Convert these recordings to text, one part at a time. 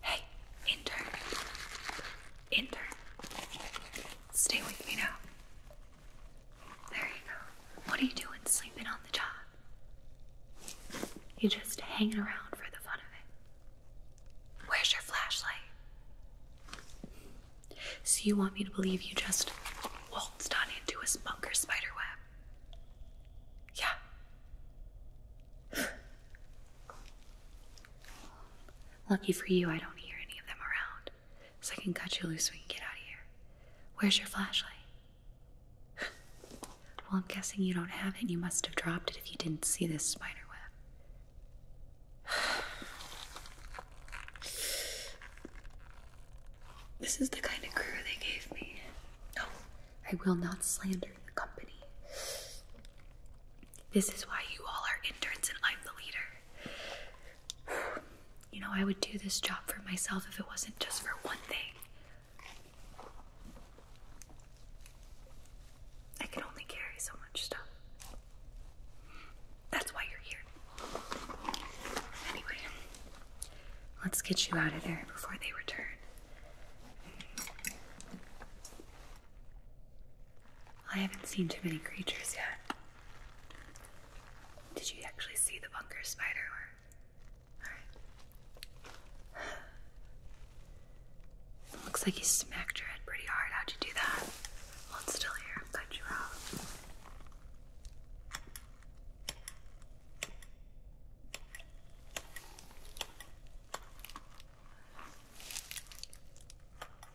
Hey, intern. Intern. Stay with me now. There you go. What are you doing sleeping on the job? You are just hanging around for the fun of it. Where's your flashlight? So you want me to believe you just waltzed on into a spunker spider web? Yeah. Lucky for you, I don't hear any of them around, so I can cut you loose so we can get out of here. Where's your flashlight? well, I'm guessing you don't have it. You must have dropped it if you didn't see this spider web. this is the kind of crew they gave me. No, I will not slander the company. This is why you all are interns and I'm the leader. You know, I would do this job for myself if it wasn't just for one thing I can only carry so much stuff. That's why you're here. Anyway, let's get you out of there before they return. I haven't seen too many creatures yet. Did you actually see the bunker spider Looks like you smacked your head pretty hard. How'd you do that? Hold still here. i cut you out.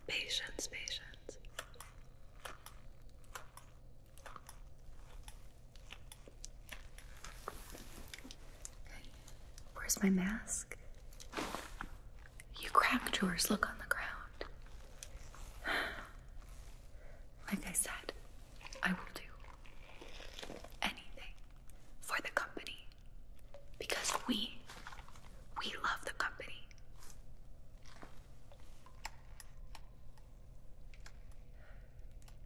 Patience, patience. Where's my mask? You cracked yours. Look on the ground. Like I said, I will do anything for the company because we, we love the company.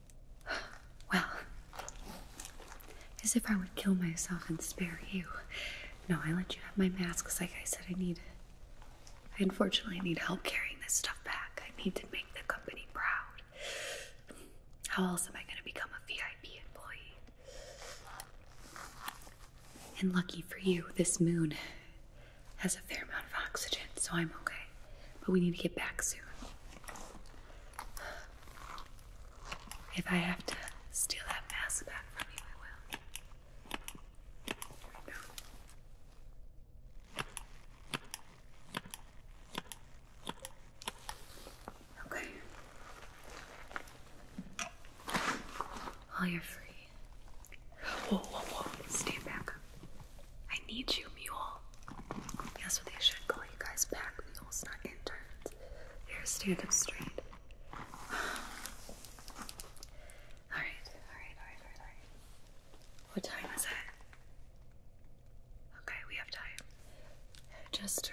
Well, as if I would kill myself and spare you. No, I let you have my mask because, like I said I need. needed. I unfortunately need help carrying this stuff back. I need to make the company proud. How else am I going to become a VIP employee? And lucky for you, this moon has a fair amount of oxygen, so I'm okay. But we need to get back soon. If I have to steal that mask back from you, I will. Okay. Well, you're free. Whoa, whoa, whoa. Stand back. I need you, mule. Yes, what they should call you guys back. mules, not interns. Here, stand up straight. Alright, alright, alright, alright, What time is it? Okay, we have time. Just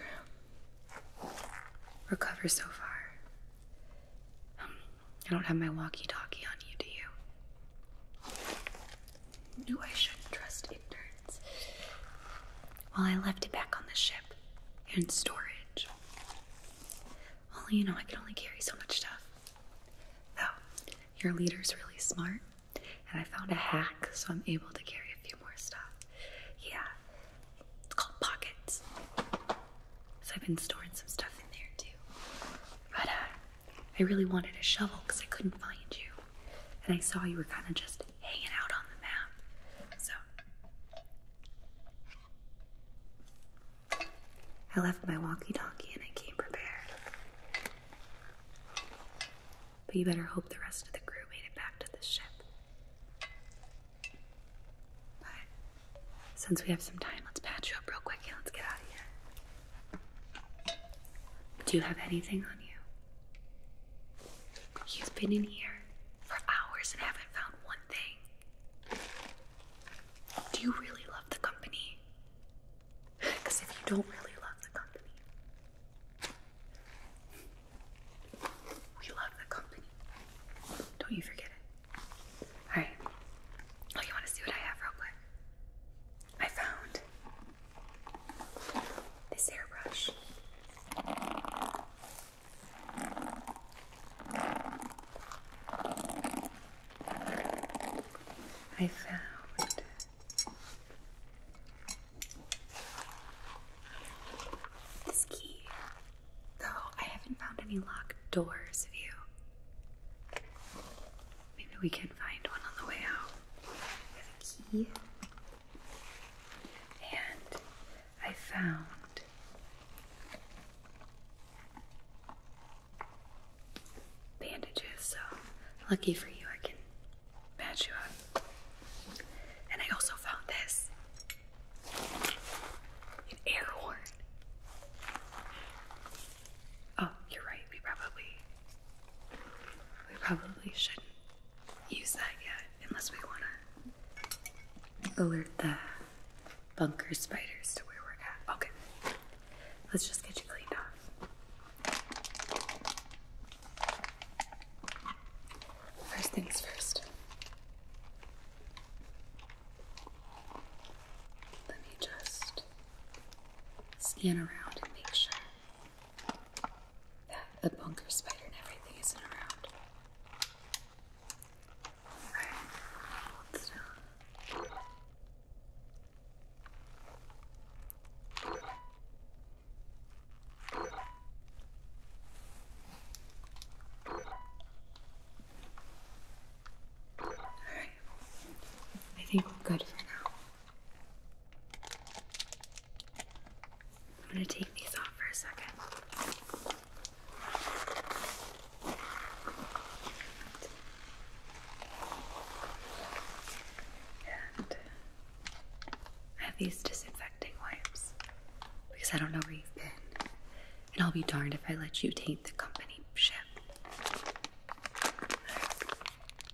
recover so far. Um, I don't have my walkie talkie on you, do you? knew I shouldn't trust interns. Well, I left it back on the ship in storage. Well, you know, I can only carry so much stuff. Though, your leader's really smart, and I found a hack, so I'm able to carry a few more stuff. Yeah, it's called Pockets. So I've been storing some stuff in there too. But, uh, I really wanted a shovel because I couldn't find you. And I saw you were kind of just hanging out on the map. So I left my walkie talkie and I came prepared. But you better hope the rest of the crew made it back to the ship. But since we have some time, let's patch you up real quick and let's get out of here. Do you have anything on you? You've been in here for hours and haven't found one thing. Do you really love the company? Because if you don't really love the company, we love the company. Don't you forget it. Alright. Oh, you want to see what I have real quick? I found this airbrush. I found this key, though I haven't found any locked doors of you. Maybe we can find one on the way out key, and I found bandages. So lucky for you, I can patch you up. And I also found this an air horn. Oh, you're right. We probably we probably shouldn't use that yet unless we want to alert the bunker spiders to where we're at. Okay, let's just get you cleaned off. First things first. Let me just scan around and make sure that the bunker spider and everything isn't around. Alright, I think we're good for now. I'm going to take these off for a second. I have these disinfecting wipes because I don't know where you've been. And I'll be darned if I let you taint the company ship.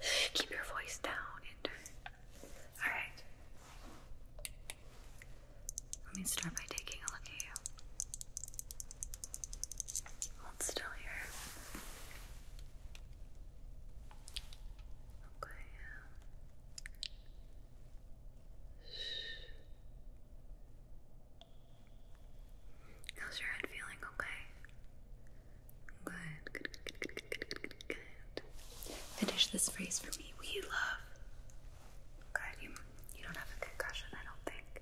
Keep your voice down, Ender. Alright. Let me start by taking a look at you. Hold still here. Okay. How's your head feeling? Okay. Finish this phrase for me. We love. Good, you, don't have a concussion, I don't think.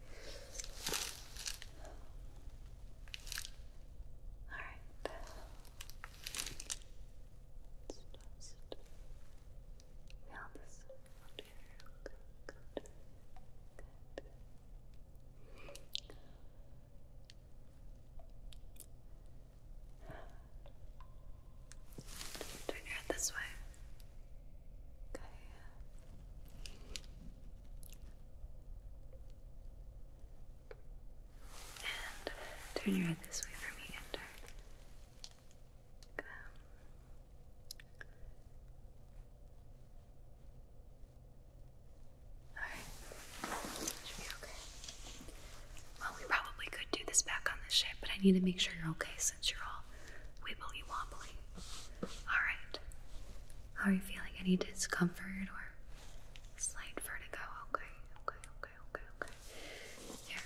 Alright. Turn your head this way. Okay. And turn your head this way for me, Ender. Come. Alright. Should be okay. Well, we probably could do this back on the ship, but I need to make sure you're okay since you're all wobbly, wobbly. Alright. How are you feeling? Any discomfort or slight vertigo? Okay, okay, okay, okay, okay. Here.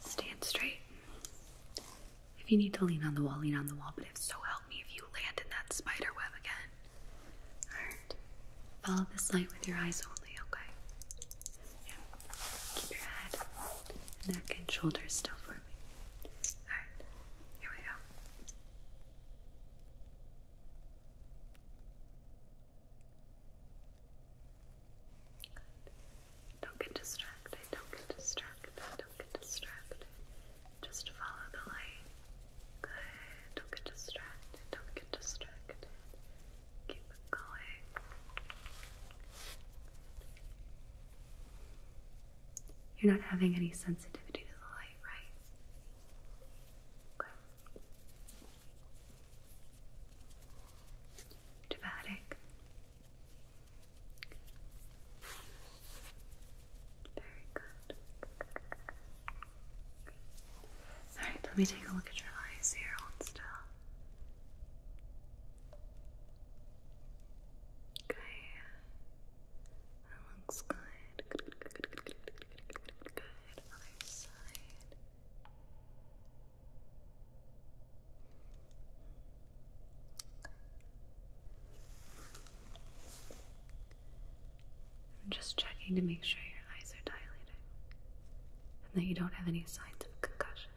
Stand straight. If you need to lean on the wall, lean on the wall, but if so, help me if you land in that spider web again. Alright. Follow this light with your eyes only, okay? Yeah. Keep your head, neck, and shoulders still for me. Alright. Here we go. Don't get distracted. Don't get distracted. Don't get distracted. Just follow the light. Good. Don't get distracted. Don't get distracted. Keep going. You're not having any sensitivity to the light, right? Okay. Dramatic. Very good. Alright, let me take a look at your eyes here. Hold still. Okay. That looks good. Good, good, good, good, good, good, good, good, Other side. I'm just checking to make sure your eyes are dilating and that you don't have any signs of concussion.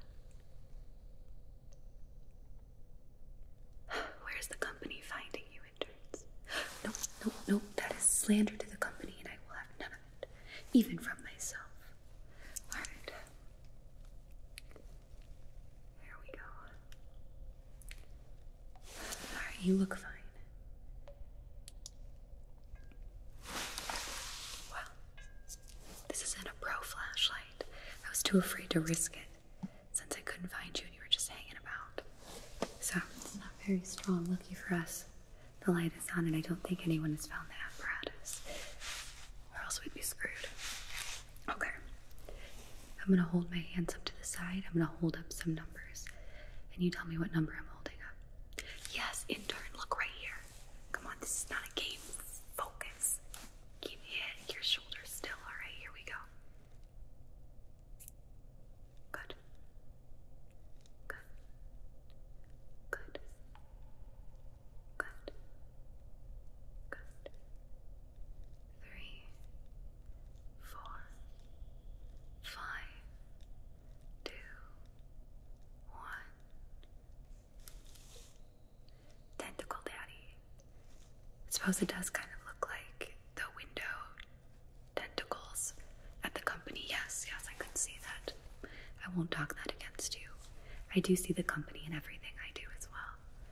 Where's the company finding you, interns? No, no, no, that is slander to the company, and I will have none of it, even from myself. Alright. There we go. Alright, you look fine. Wow. This isn't a pro flashlight. I was too afraid to risk it since I couldn't find you and you were just hanging about. So, it's not very strong. Lucky for us, the light is on and I don't think anyone has found the apparatus. Or else we'd be screwed. Okay. I'm going to hold my hands up to the side. I'm going to hold up some numbers. And you tell me what number I'm holding up. Yes, in turn. look right here. Come on, this is not a game. Focus. Keep your, your shoulders still. All right, here we go. Good. Good. Good. Good. Good. Three, four, five, two, one. Tentacle Daddy. suppose it does kind of look like the window tentacles at the company. Yes, yes, I can see that. I won't talk that against you. I do see the company in everything I do as well.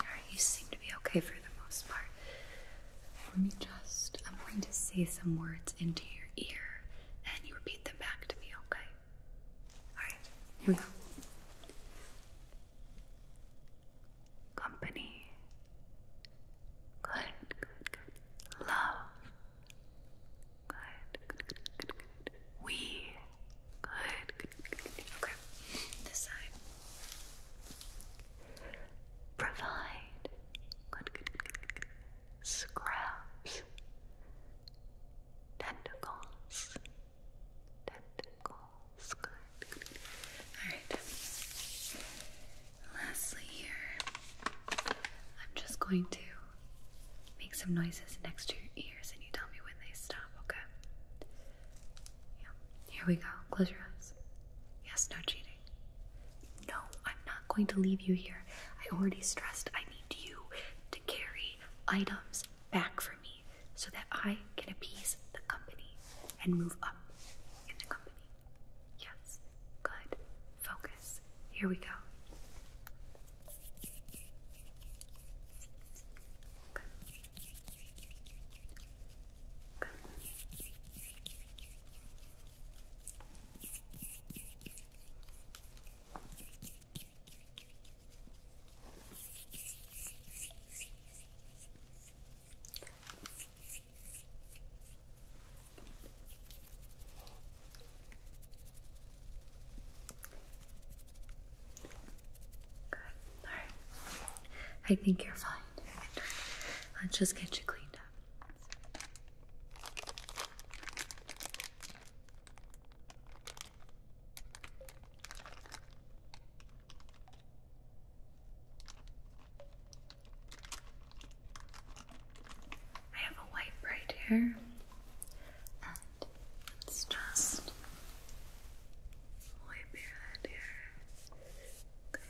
Alright, you seem to be okay for the most part. Let me just, I'm going to say some words into your ear and you repeat them back to me, okay? Alright, here we go. Company. Good, Love. Good, We. Good, good, good, good. Okay. This side. Provide. Good, good, good, good, good. Scraps. Tentacles. Tentacles. Good. Alright. Lastly, here, I'm just going to make some noises next to your ears and you tell me when they stop, okay? Yeah. Here we go. Close your eyes. Yes, no cheating. No, I'm not going to leave you here. I already stressed I need you to carry items back for me so that I can appease the company and move up in the company. Yes, good. Focus. Here we go. Good. Good. Good. All right. I think you're fine. Let's just get you cleaned up. I have a wipe right here, and it's just wipe your head here. Okay.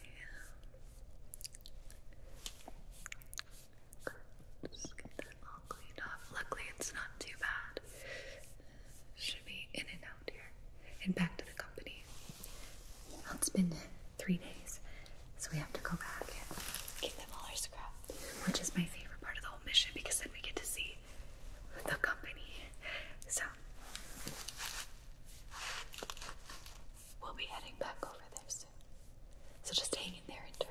Just get that all cleaned off. Luckily, it's not too bad. Should be in and out here. And back to the company. it's been three days, so we have to go back and them all our which is my favorite part of the whole mission because then we get to see the company. So, we'll be heading back over there soon. So, just hang in there and turn.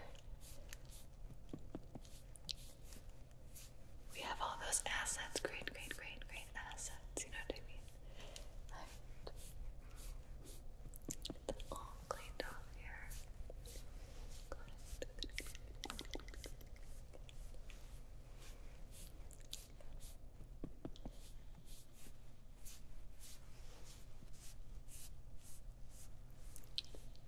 We have all those assets. Great, great, great, great assets. You know what I mean? all cleaned off here. It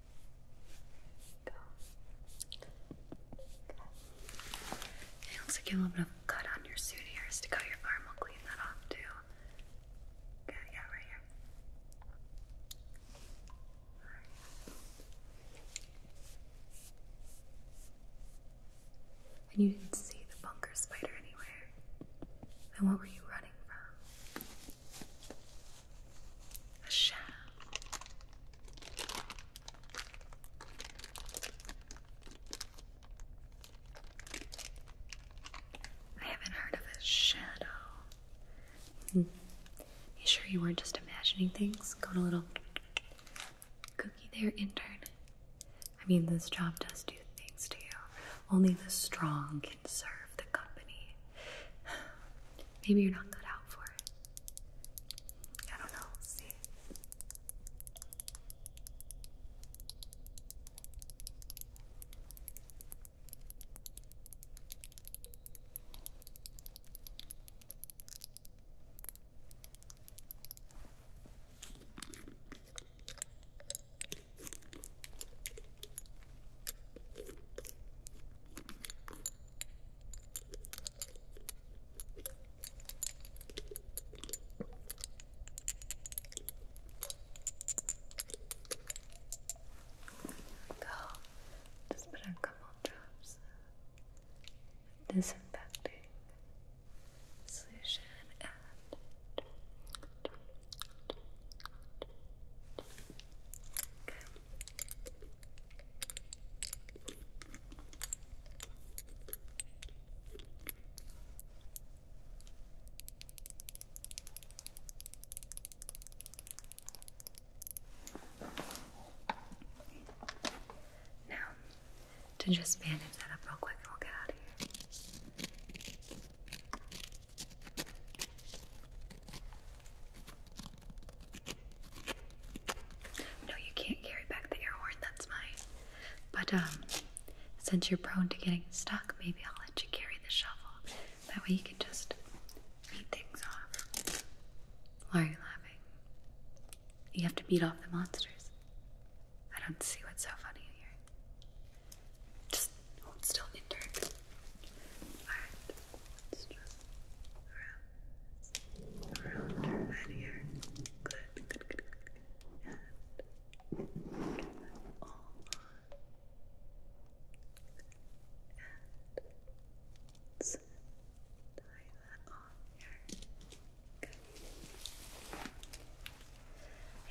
looks like you have a cut on your suit here. Stick out your arm. I'll clean that off too. Okay, yeah, right here. And you didn't see the bunker spider anywhere. And what were you running from? a shell. I haven't heard of a shadow. Mm. You sure you weren't just imagining things? Got a little cookie there, intern. I mean, this job does do things to you. Only the strong can serve the company. Maybe you're not cut out for it. I don't know. see. Go. Just put a couple drops of disinfecting solution and Okay. Now, to just bandage that up real quick and we'll get out of here. No, you can't carry back the air horn, that's mine. But um since you're prone to getting stuck, maybe I'll let you carry the shovel. That way you can just beat things off. Why are you laughing? You have to beat off the monsters. I don't see what's so funny here. Just still in Alright, let's just around, around her head here. Good, good, good, good. And all And tie that on I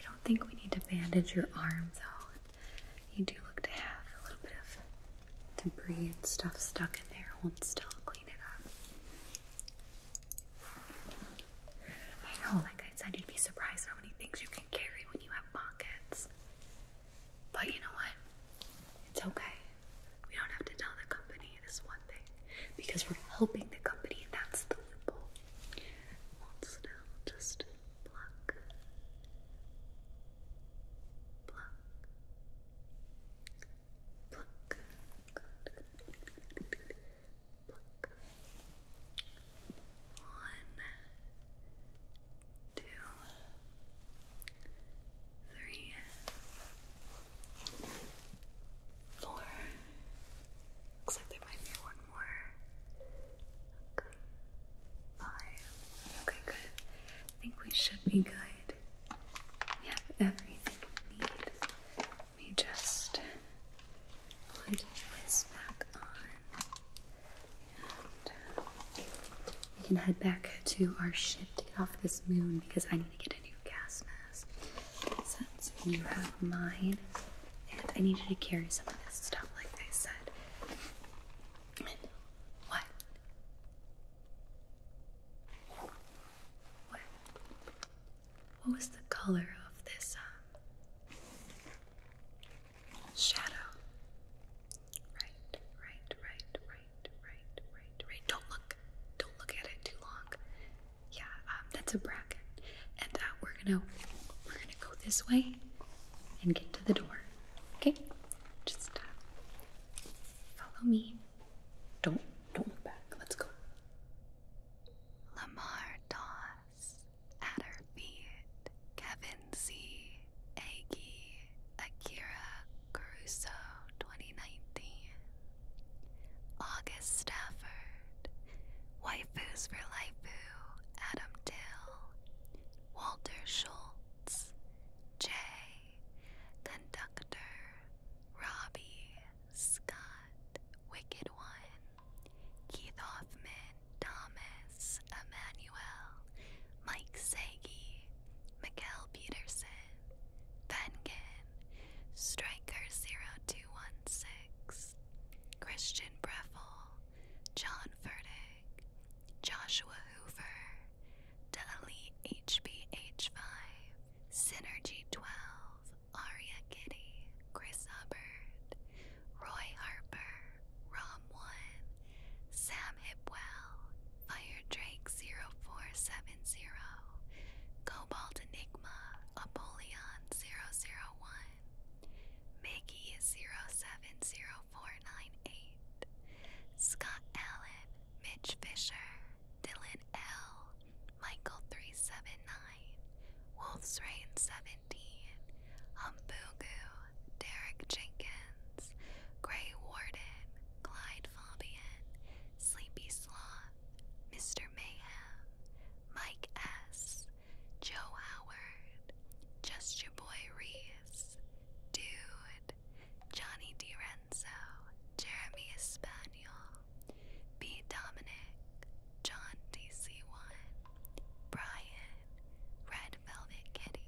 don't think we need to bandage your arms though. You do look to have a little bit of debris and stuff stuck in there. Hold still, clean it up. I know, like I said, you'd be surprised how many things you can carry when you have pockets. But you know what? It's okay. We don't have to tell the company this one thing because we're helping the company, and that's the loophole. Hold still, just pluck, pluck, pluck, good, good. pluck, one, two, three, four. Looks like there might be one more five. Okay, good. I think we should be good. We have everything we need. Let just put this back on. And uh, we can head back to our ship to get off this moon because I need to get a new gas mask. Since you have mine, and I need you to carry some of this stuff, like I said what? What? What was the color of this um, shadow? Right, right, right, right, right, right, Don't look, don't look at it too long. Yeah, um, that's a bracket, and uh, we're gonna we're gonna go this way and get to the door. Okay, just uh, follow me. Don't don't look back. Let's go. Lamar Doss, at her feet, Kevin C, Akira, Caruso, 2019, August Stafford, Waifus for Laifu, Adam Dill, Walter Schultz, Jay, Conductor, Robbie, Scott, Wicked One, Keith Hoffman, Thomas, Emmanuel, Mike Sagi, Mikkel Peterson, Vengen, Striker 0216, Christian Breffel, John Furtick, Joshua Hoover, Dali HBH5, Synergy12, Aria Kitty, Chris Hubbard, Roy Harper, Rom1, Sam Hipwell, Fire Drake 0470, Cobalt Enigma, Apollyon 001, Mickey 0701, 0498, Scott Allen, Mitch Fisher, Dylan L, Michael 379, Wolf's Reign 17, Humbugu, Derek Jenkins, Gray Warden, Clyde Fabian, Sleepy Sloth, Mr. Mayhem, Mike S, Joe Howard, Just Your Boy Reese, Dude, Johnny DiRenzo, Jeremy Espaniel, B. Dominic, John DC1, Brian, Red Velvet Kitty.